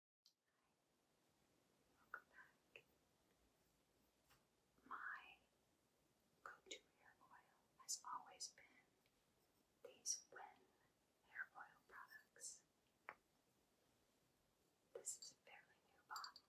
Welcome back. My go-to hair oil has always been these Wen hair oil products. This is a fairly new bottle.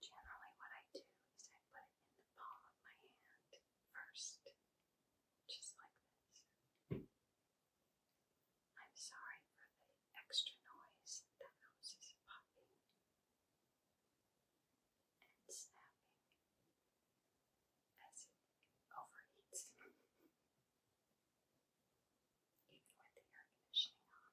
Generally, what I do is I put it in the palm of my hand first, just like this. I'm sorry for the extra noise. that house is popping and snapping as it overheats. Even with the air conditioning on.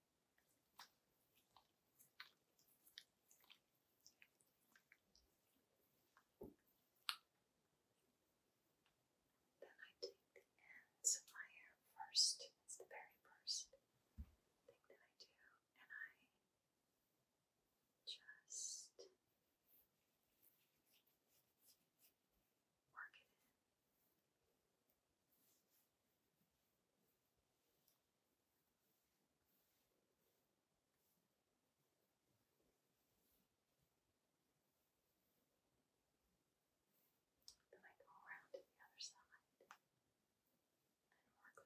Then I take the ends of my hair first. It's the very first thing that I do, and I just work it in. Then I go around to the other side and work those ends in. Now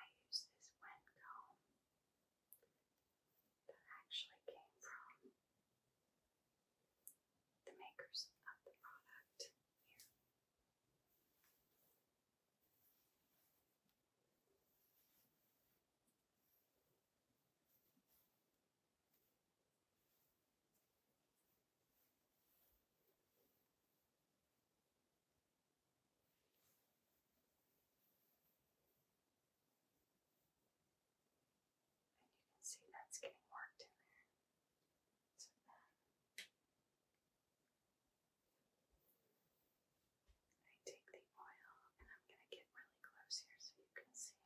I use this wet comb that actually came from the makers of the product here. And you can see that's getting worked in there. So then um, I take the oil and I'm going to get really close here so you can see.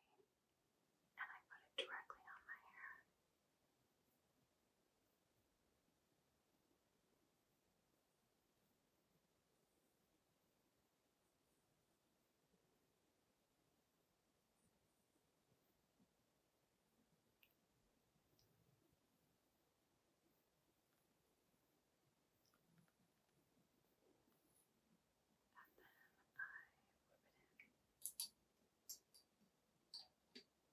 And I put it directly on my hair. And then I whip it in.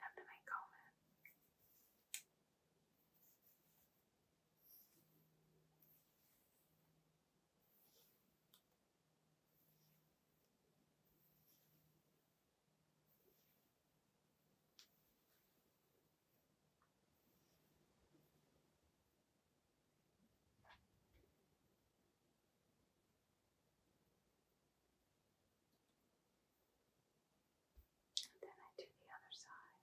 Have to make comment. And then I do the other side.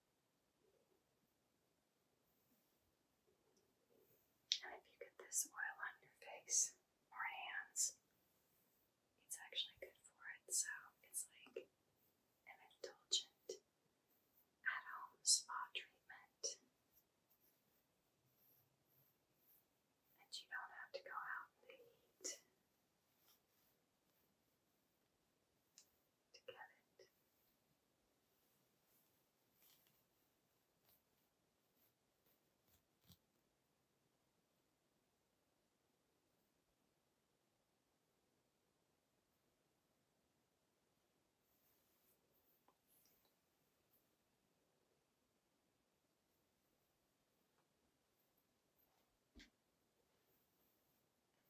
And if you get this oil on your face or hands, it's actually good for it. So it's like an indulgent at home spa treatment. And you don't have to go out in the heat to get it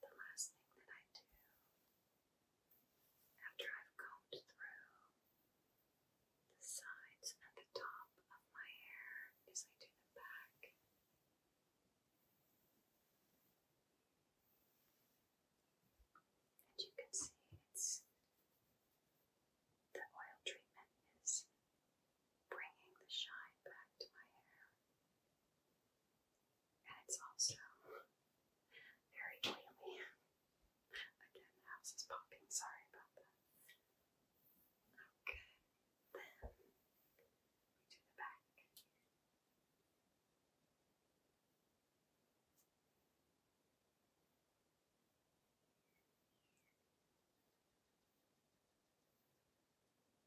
the last thing that I do after I've combed through the sides and the top of my hair is I do the back. And you can see the oil treatment is bringing the shine back to my hair and it's also very oily. Again, the house is popping, sorry about that. Okay, then we do the back.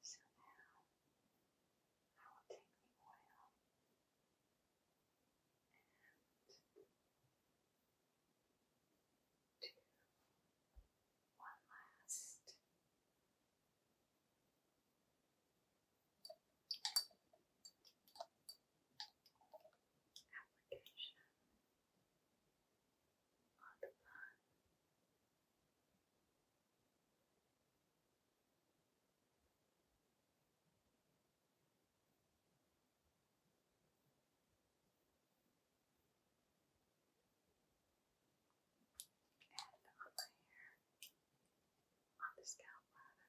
So now I will take the oil and do one last application on the bun. And on my hair, on the scalp rather. And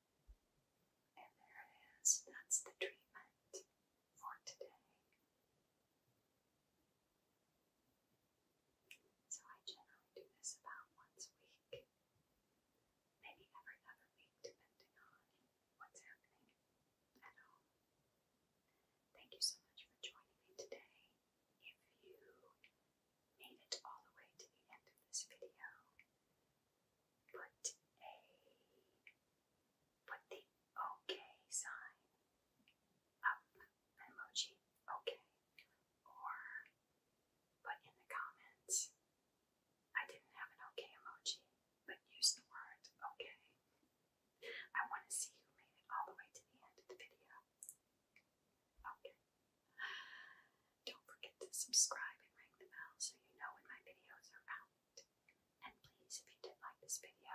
And there it is. That's the treatment for today. So I generally do this about once a week, maybe every other week, depending on what's happening at home. Thank you so much for joining me today. If you made it all the way to the end of this video, Put a put the okay sign up emoji okay or put in the comments I didn't have an okay emoji but use the word okay. I want to see who made it all the way to the end of the video. Okay. Don't forget to subscribe and ring the bell so you know when my videos are out. And please, if you did like this video,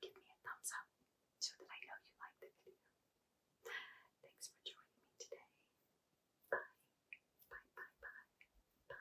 give me a thumbs up so that I know you liked the video. Thanks for joining me today. Bye. Bye, bye, bye. Bye.